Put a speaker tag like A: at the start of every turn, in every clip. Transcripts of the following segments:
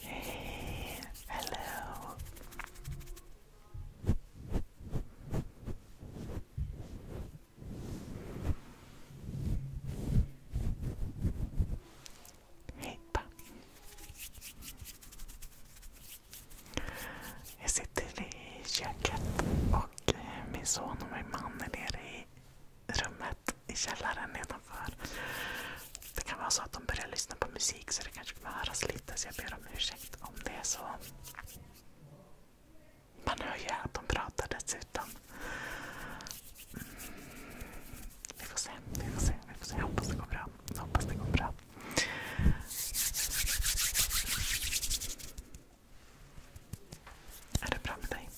A: Hey, hello. Hejpa. Jag sitter i köket och eh, min son och min man är nere i rummet i källaren nedanför. Det kan vara så att de börjar lyssna på musik så det kanske kommer höras lite så jag ber om ursäkt om det är så. Man hör ju att de pratar dessutom. Mm. Vi får se, vi får se. Vi får se. Jag hoppas det går bra. Jag hoppas det går bra. Är det bra med dig?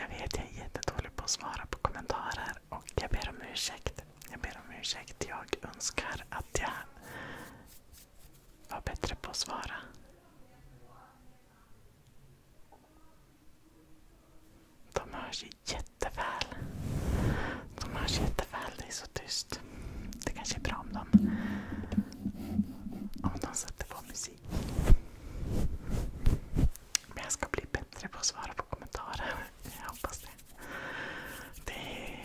A: Jag vet, jag är jättedålig på att svara på kommentarer och jag ber om ursäkt. Jag ber om ursäkt. Jag önskar att jag var bättre på att svara. De hörs jätteväl. De hörs jätteväl. Det är så tyst det kanske är bra om de, om de sätter på musik. Men jag ska bli bättre på att svara på kommentarer. Jag hoppas det. Det,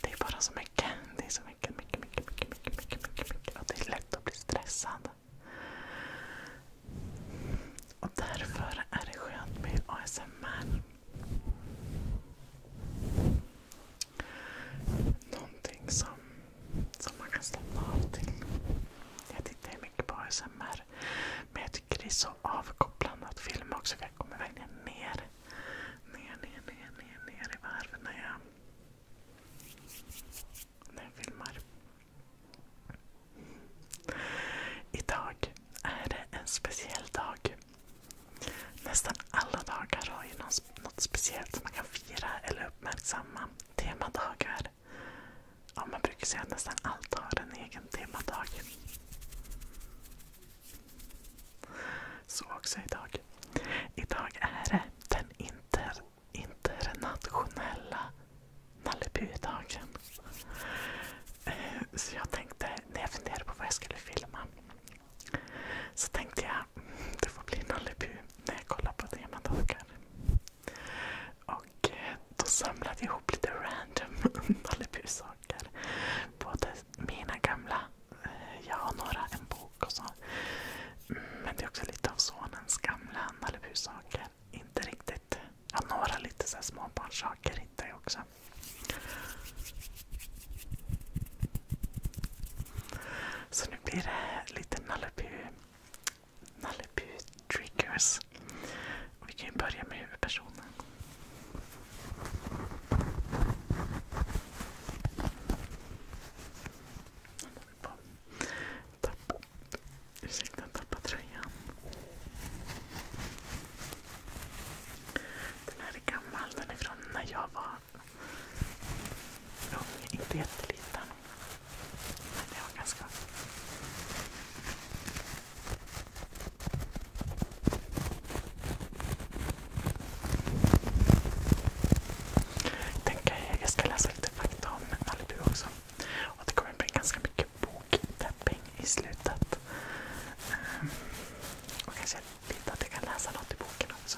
A: det är bara så mycket. Det är så mycket, mycket, mycket, mycket, mycket, mycket, mycket, mycket. Och det är lätt att bli stressad. Och därför är det skönt med ASMR. Någonting som, som man kan slappna av till. Jag tittar ju mycket på ASMR. Men jag tycker det är så avkopplande att filma också. Jag kommer verkligen ner. Ner, ner, ner, ner, ner i varv när jag, när jag filmar. Idag är det en speciell dag. Nästan alla dagar har ju något speciellt som man kan fira eller uppmärksamma. Temadagar. Ja, man brukar säga att nästan allt har en egen temadag. Så också idag. Idag är det den inter, internationella dagen eh, Så jag tänkte, när jag funderade på vad jag skulle filma, så tänkte jag, mm, det får bli Nollebu när jag kollar på temadagar. Och eh, då samlade jag ihop lite random Nollebu-saker. Både mina gamla, eh, jag har några, en bok och så. Mm, men det är också lite av sonens gamla Nollebu-saker. Inte riktigt, ja några lite så småbarnssaker hittade jag också. Så nu blir det lite Nalle Nallebu triggers. vi kan ju börja med huvudpersonen. Tappa. Ursäkta, tappa tröjan. Den här är gammal. Den är från när jag var Lång, inte jätteliten. Men det var ganska... jag ska läsa lite fakta om Malibu också. Och det kommer bli ganska mycket boktapping i slutet. Ehm, och kanske lite att jag kan läsa något i boken också.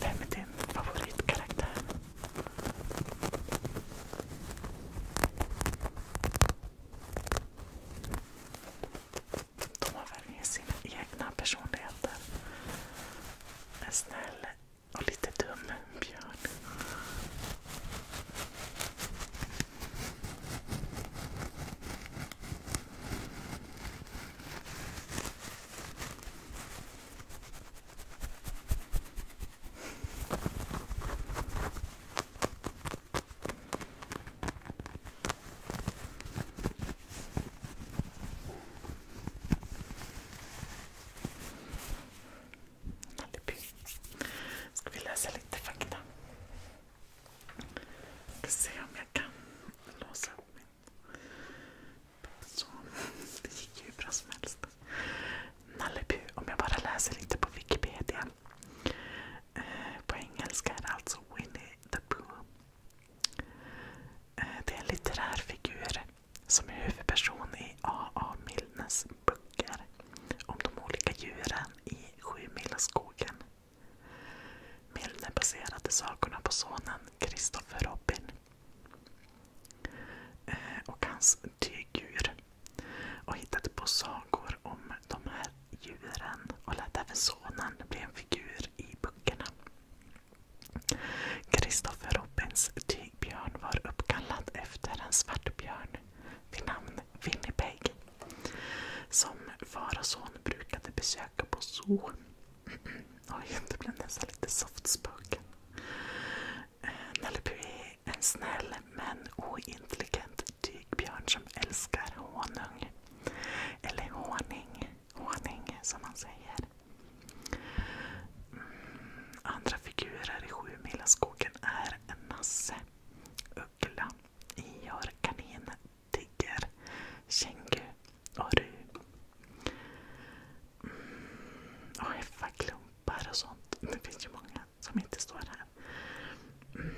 A: Vem är din favoritkaraktär? De har verkligen sina egna personligheter. En snäll och lite dum björn. Ska vi läsa lite fakta? Ska se om jag kan låsa upp mig. Så det gick hur bra som helst. Nalleby, om jag bara läser lite på Wikipedia. Eh, på engelska är det alltså Winnie the Pooh. Eh, det är en litterär figur som är huvudperson i A.A. Milnes böcker om de olika djuren i Sjumilaskogen. Milne baserade sagorna på sonen Kristoffer Robin eh, och hans dygdjur och hittade på sagor om de här djuren och lät även sonen bli en figur i böckerna. Kristoffer Robins tygbjörn var uppkallad efter en svartbjörn vid namn Winnipeg som Farason brukade besöka på zoo. Oj, det blev nästan lite softspöken. Eh, Nalle är en snäll men ointelligent dygbjörn som älskar honung. Eller honing. honung som man säger. Mm, andra figurer i Sjumilaskogen är en Nasse, Uggla, Ior, Kanin, tigger, känguru och rub. Mm, och häffaklumpar och sånt. Det finns ju många som inte står här. Mm.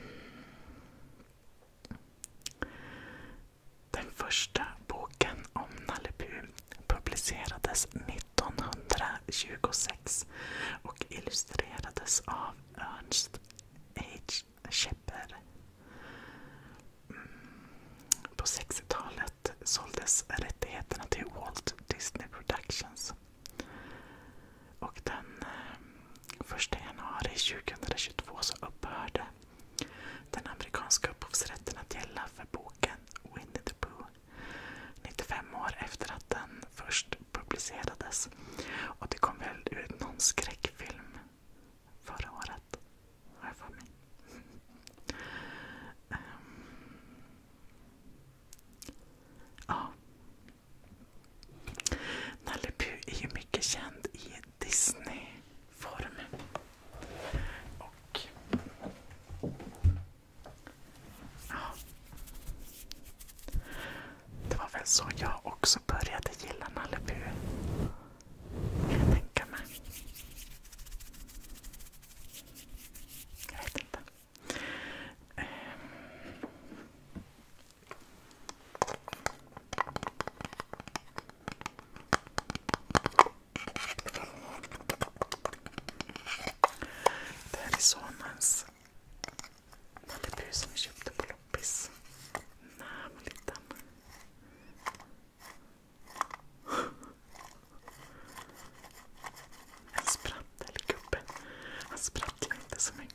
A: Den första boken om Nalle Puh publicerades 1926 och illustrerades av Ernst H käppor. Mm. På 60-talet såldes rättigheterna till Walt Disney Productions. Och den 1 eh, januari 2022 så upphörde den amerikanska upphovsrätten att gälla för boken Winnie the Pooh. 95 år efter att den först publicerades. Och det kom väl ut någon skräckfilm förra året, har jag för mig. Ehm, ja. Nalle Puh är ju mycket känd i Disney-form. Och... Ja. Det var väl så jag också som började gilla Malibu. Kan jag tänka mig. Jag vet inte. Ehm. Det här är sonens Malibu som vi köpte på kompis. Hamilton. En sprattelgubbe. Han sprattlar inte så mycket.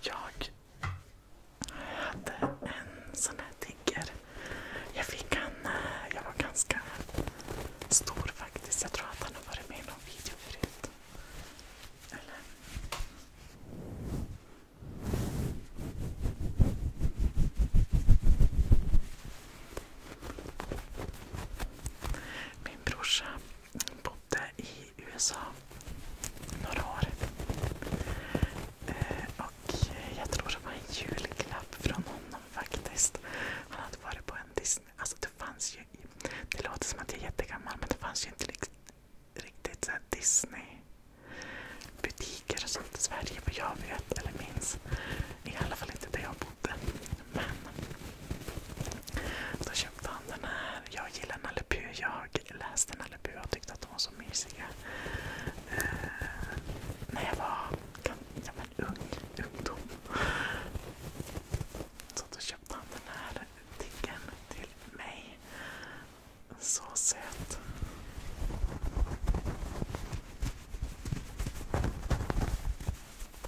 A: Jag hade en sån här tigger. Jag fick han, eh, jag var ganska stor faktiskt. Jag tror att han har varit med i någon video förut. Eller? Min brorsa på bodde i USA några år. Eh, och jag tror det var en julklapp från honom faktiskt. Han hade varit på en Disney... Alltså det fanns ju... Det låter som att jag är jättegammal men det fanns ju inte riktigt så Disney-butiker och sånt i Sverige vad jag vet eller minns. I alla fall inte där jag bodde. Men då köpte han den här. Jag gillar Nalle Puh. Jag läste Nalle Puh och tyckte att de var så mysiga. Uh, när jag var ja, men ung. Ungdom. Så då köpte han den här tiggen till mig. Så söt.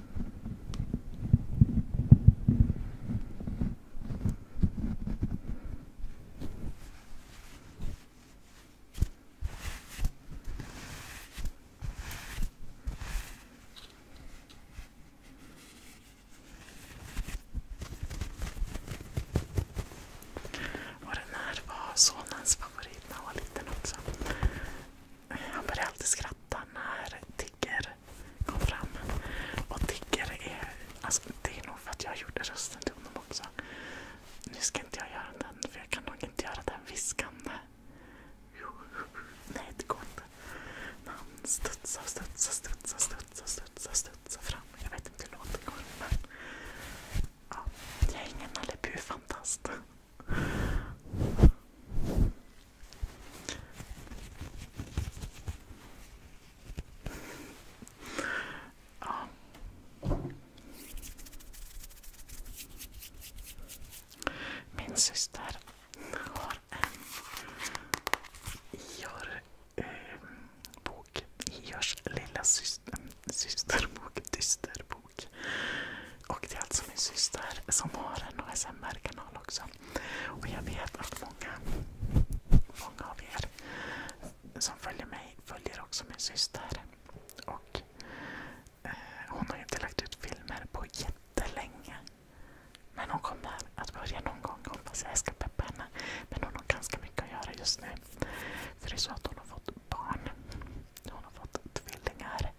A: Och den här var sonens favorit när han var liten också. Han började alltid skratta när Tigger kom fram. Och Tigger är... Alltså, det är nog för att jag gjorde rösten till honom också. Nu ska inte jag göra den, för jag kan nog inte göra den viskande. Nej, det går inte. När han studsar, studsar, studsar, studsar, studsar, studsar fram. Jag vet inte hur låten går, men... Ja, jag är ingen Nalle fantast min syster har en IR-bok. Eh, IRs lilla systerbok, dysterbok. Och det är alltså min syster som har en ASMR-kanal också. Och jag vet att många, många av er som följer mig följer också min syster. Och eh, Hon har inte lagt ut filmer på jättelänge. Men hon kommer att börja någon gång. Hoppas jag ska peppa henne. Men hon har ganska mycket att göra just nu. För det är så att hon har fått barn. Hon har fått tvillingar.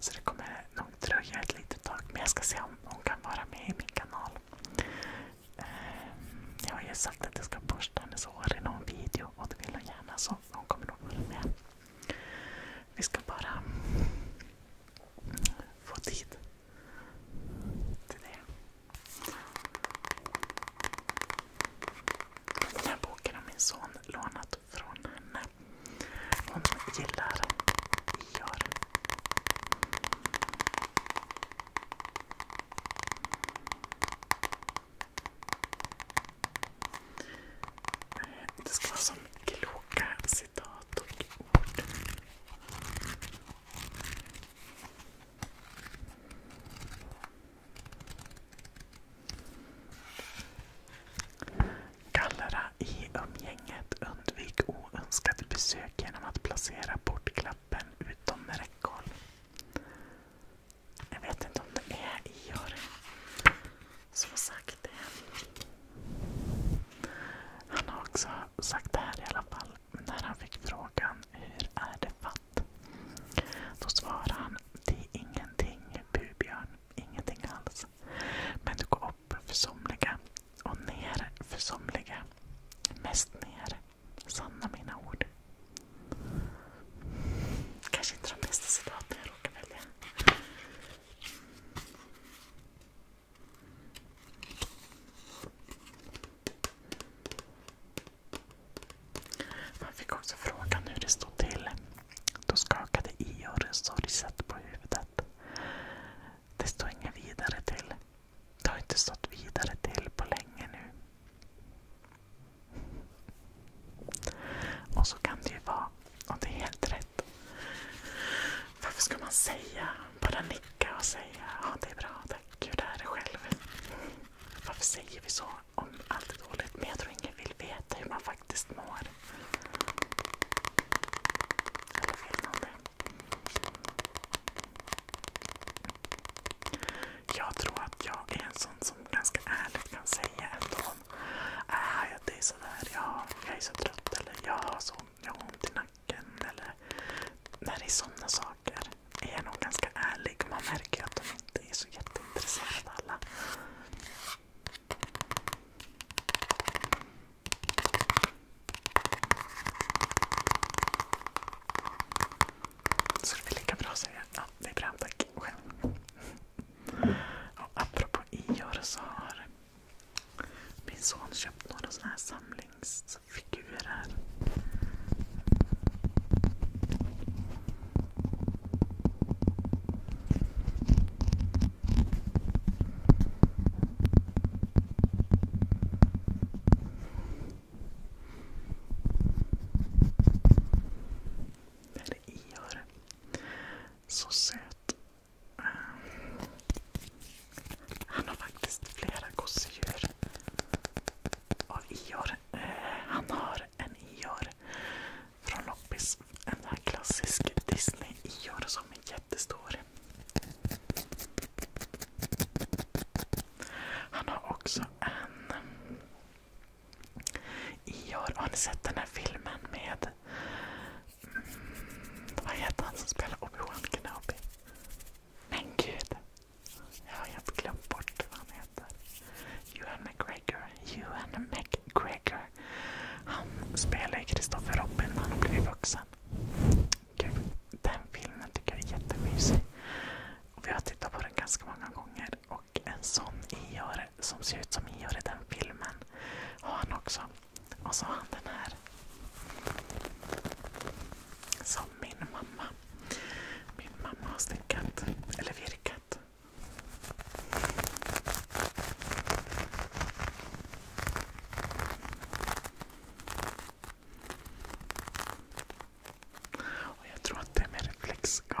A: Så det kommer nog dröja ett litet tag. Men jag ska se om hon kan vara med i min kanal. Ehm, jag har ju sagt att jag ska borsta hennes hår i någon video och det vill hon gärna så hon kommer nog vara med. Vi ska bara få tid till det. Den här boken har min son lånat från henne. Hon gillar Ior. Det ska vara som kloka citat och ord. Gallera i umgänget. Undvik oönskade besök genom att placera portklappen utom räckhåll. Jag vet inte om det är Ior som sagt det. Han har också sagt det här i alla fall. När han fick frågan hur är det fatt? Då svarade han det är ingenting, bubjörn. Ingenting alls. Men du går upp för somliga och ner för somliga. Mest ner. Sanna mina ord. Kanske inte de bästa citaten jag råkar välja. Man fick också frågan hur det stod till. Då skakade Ior sorgset på huvudet. Det står inget vidare till. Det har inte stått vidare till på länge nu. Och så kan det ju vara. Och det är helt rätt. Varför ska man säga? Bara nicka och säga ja det är bra, tack. gud det här är själv. Varför säger vi så om allt är dåligt? Men jag tror ingen vill veta hur man faktiskt mår. Eller fel nummer. Jag tror att jag är en sån som ganska ärligt kan säga ändå ah, det är sådär, jag är så trött jag har, ont i nacken. när det är sådana saker är jag nog ganska ärlig. Man märker att de inte är så jätteintresserade alla. Så det blir lika bra säger jag. Ja, det är bra. Tack. Själv. Och apropå Ior så har min son köpt några såna här samlingsfigurer. Där är Ior. Så söt. Eh, han har faktiskt flera gosedjur av Ior. Eh, han har en Ior från loppis. En klassisk Disney Ior som är jättestor. Han har också en Ior. Har ni sett den här filmen med mm, vad heter han som spelar Obi-Wan Kenobi? Men gud! Jag har helt glömt bort vad han heter. Ewan McGregor. Ewan McGregor. Han spelar ju Kristoffer Robin när han har blivit vuxen. Gud, den filmen tycker jag är jättemysig. vi har tittat på den ganska många gånger. Och en sån Ior som ser ut som Ior i den filmen har han också. Och så har han den här. Som min mamma. Min mamma har stickat, eller virkat katt. jag tror att det är med reflexgarn.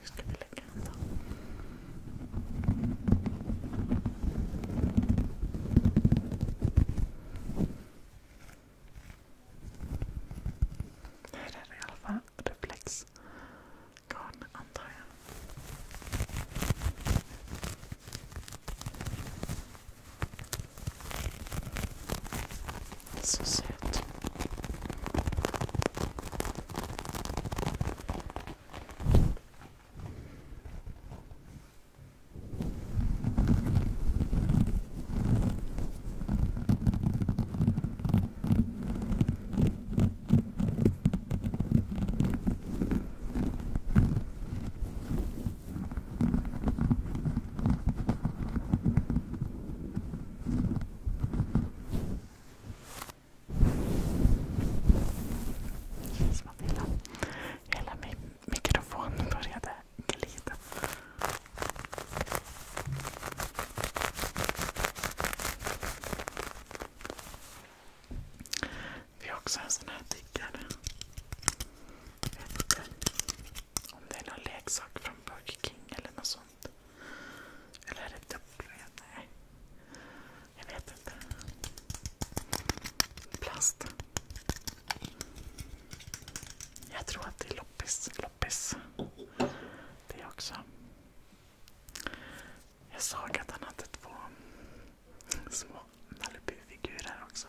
A: Hur ska vi lägga den då? Det här är i alla fall reflexgarn antar jag. Så söt. Det känns som att hela, min mikrofon började glida. Vi har också en sån här tiggare efter. Om det är någon leksak från Burger King eller något sånt. Eller är det W? Nej. Jag vet inte. Plast. Jag tror att det är loppis. Det också. Jag såg att han hade två små Nalupi-figurer också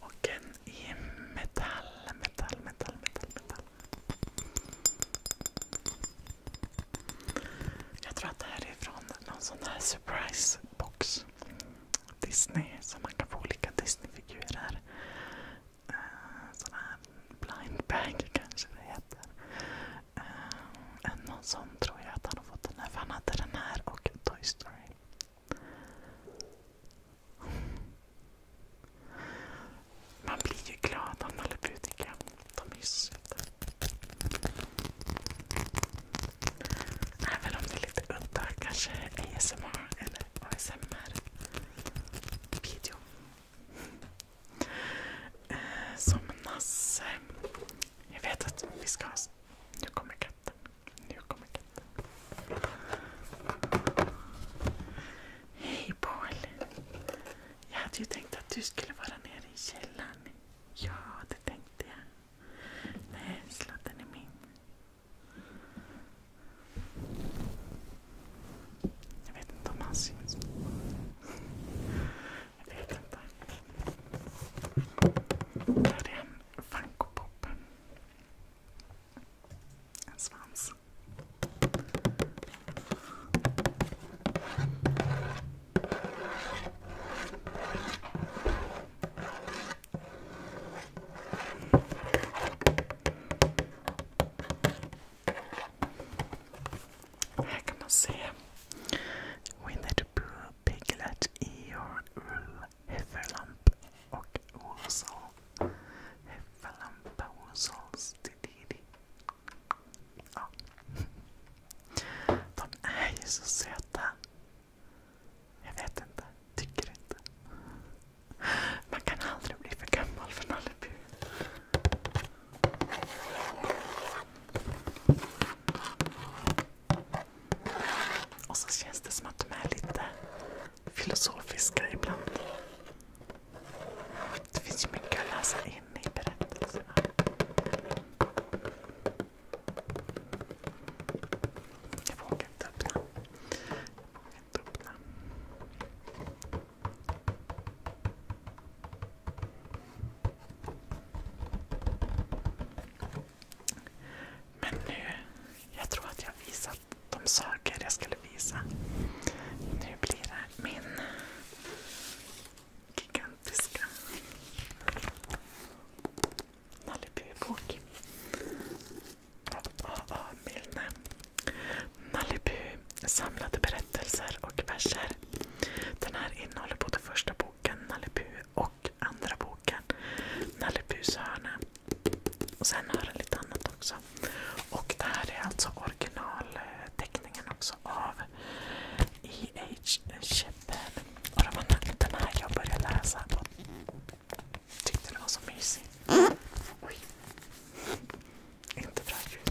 A: Och en i metall, metall, metall, metall, metall. Jag tror att det här är från någon sån här surprise box. Disney, så man kan få olika Disney-figurer. Uh, sån här blind bag kanske det heter. Uh, en någon sån tror jag att han har fått den här. För han hade den här och Toy Story. Man blir ju glad av Nalleputika. De är söta. Även om det är lite udda kanske ASMR eller ASMR-video. Eh, som Nasse jag vet att vi ska ha... Nu kommer katten. Nu kommer katten. Hej Paul! Jag hade ju tänkt att du skulle vara nere i källaren. Ja, det tänkte jag. Nej, sladden är min. Jag vet inte om han syns. Jag vet inte. Där är han. Funko Pop. En svans. Här kan man se Winnie the Pooh Piglet, Eeyore, Ull, Hefferlamp och Olsson. Hefferlampa Olssons Dididi. Ja. De är ju så söta. Jag vet inte. Tycker inte. Man kan aldrig bli för gammal för Nallebu. Och så känns det som att de är lite filosofiska ibland. Det finns ju mycket att läsa in i berättelserna. Jag vågar inte öppna. Men nu, jag tror att jag har visat de saker jag skulle visa. Nu blir det min gigantiska Nalibubok. A.A. Milne. Nalibu samlade berättelser och verser. Den här innehåller både första boken Nalibu och andra boken Nalle Puhs hörna. Och sen har den lite annat också. Och det här är alltså originalteckningen också av E.H. Shepard. Och det var den här jag började läsa och tyckte den var så mysig. Oj. Inte bra ljud.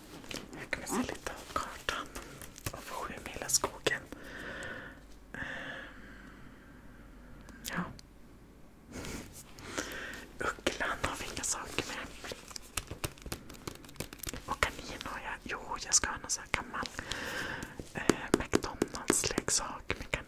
A: Här kan vi se lite av kartan av Sjumilaskogen. Ehm, ja. Ugglan har vi inga saker med. Och kanin har jag. Jo, jag ska ha någon sån här gammal eh, McDonalds-leksak med kanin.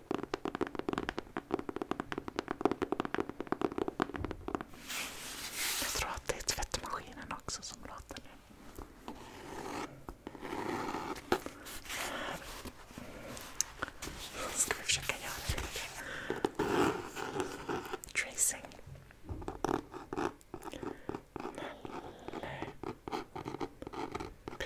A: Jag tror att det är tvättmaskinen också som låter nu. Ska vi försöka göra lite tracing? Nalle. P.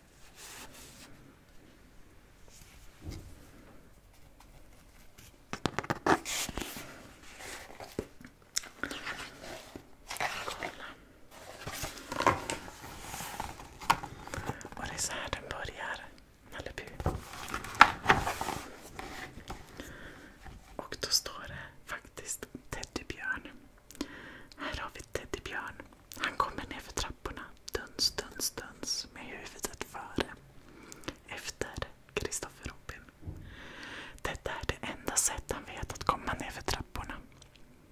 A: Kolla. Och det är så den börjar. Nalle Och då står det faktiskt Teddybjörn. Här har vi Teddybjörn. Han kommer nerför trapporna, duns, duns, duns, med huvudet före. Efter Kristoffer Robin. Detta är det enda sätt han vet att komma nerför trapporna.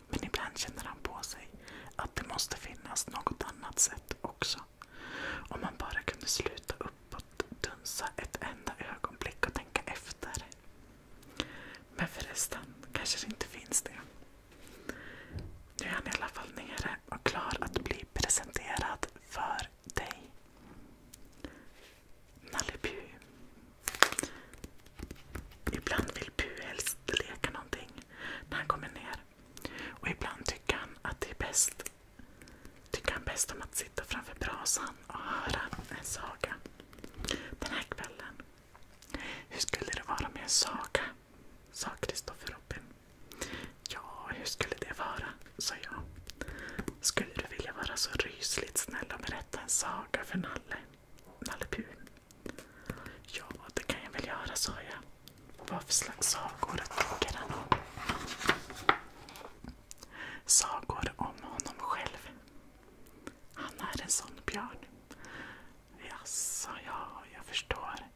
A: Men ibland känner han på sig att det måste finnas något annat sätt också. Om man bara kunde sluta uppåt, dunsa ett enda ögonblick och tänka efter. Men förresten, kanske det inte finns det. Nu är han i alla fall nere och klar att bli presenterad för dig. Nalle Puh. Ibland vill Puh helst leka någonting när han kommer ner. Och ibland tycker han att det är bäst tycker han bäst om att sitta framför brasan och höra en saga. Den här kvällen. Hur skulle det vara med en saga? sa Kristoffer Robin. Ja, hur skulle det vara? sa jag. Skulle du vilja vara så rysligt snäll och berätta en saga för Nalle? Nalle Puh. Ja, det kan jag väl göra, sa jag. Vad för slags sagor tycker han om? Sagor om honom själv. Han är en sån björn. Jaså, ja, jag förstår.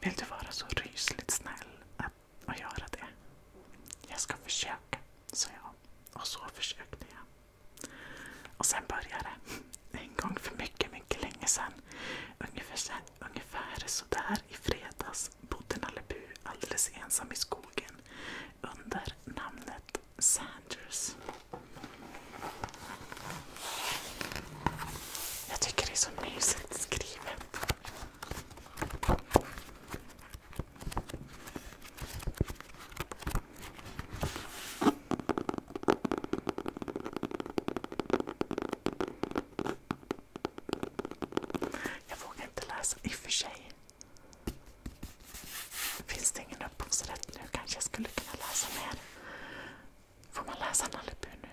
A: Vill du vara så rysligt snäll att, att göra det? Jag ska försöka, sa jag. Och så försökte jag. Och sen började det. En gång för mycket, mycket länge sedan. Ungefär, sen, ungefär sådär i fredags bodde Nalle alldeles ensam i skogen under namnet Sanders. Jag tycker det är så mysigt skrivet. Jag vågar inte läsa i och för sig. Finns det ingen upphovsrätt nu kanske jag skulle kunna läsa mer. Får man läsa Nalle nu?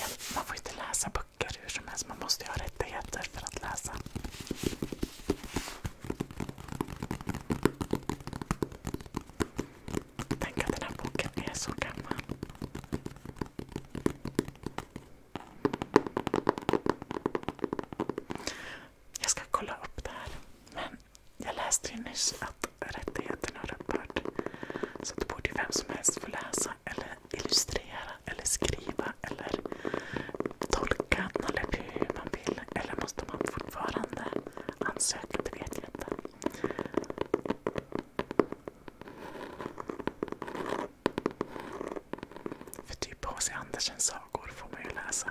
A: Ja, man får inte läsa böcker hur som helst. Man måste ju ha rättigheter för att läsa. Tänk att den här boken är så gammal. Jag ska kolla upp det här. Men jag läste ju nyss att rättigheterna har upphört. Så det borde vem som helst få läsa, eller illustrera, eller skriva eller tolka Nalle hur man vill. Eller måste man fortfarande ansöka? Det vet jag inte. För typ H.C. Andersens sagor får man ju läsa.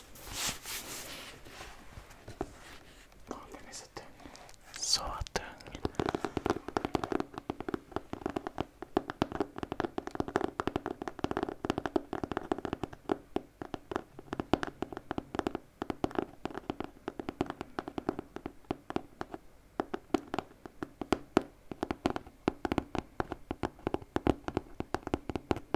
A: Åh, den är så tung. Så tung. Åh,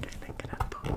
A: Jag lägger den på.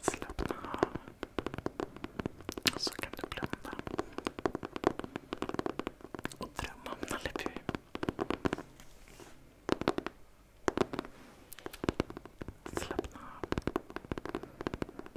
A: Slappna av. Så kan du blunda. Och drömma om Nalle Puh. Slappna av.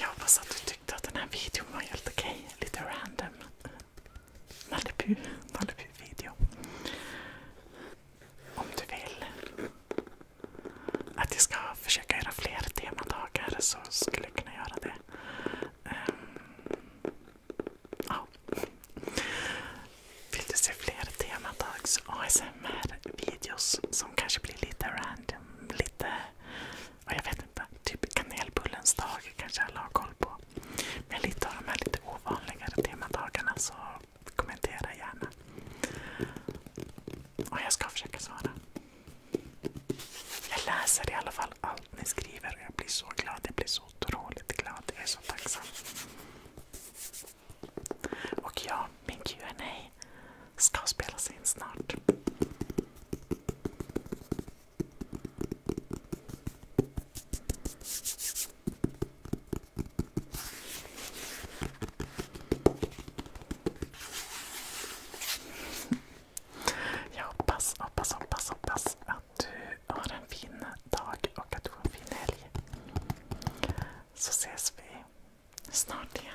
A: Jag hoppas att du tyckte att den här videon var helt okej lite random Malibu-video. Om du vill att jag ska försöka göra fler temadagar så skulle jag kunna göra det. Um, ja. Vill du se fler temadags ASMR-videos som kanske blir lite random, lite Ja, jag vet inte. Typ kanelbullens dag kanske alla har koll på. Men lite av de här lite ovanligare temadagarna så kommentera gärna. Och jag ska försöka svara. Jag läser i alla fall allt ni skriver och jag blir så glad. Jag blir så otroligt glad. Jag är så tacksam. Och ja, min Q&A ska spelas in snart. Jag hoppas, hoppas, hoppas, att du har en fin dag och att du har en fin helg. Så ses vi snart igen.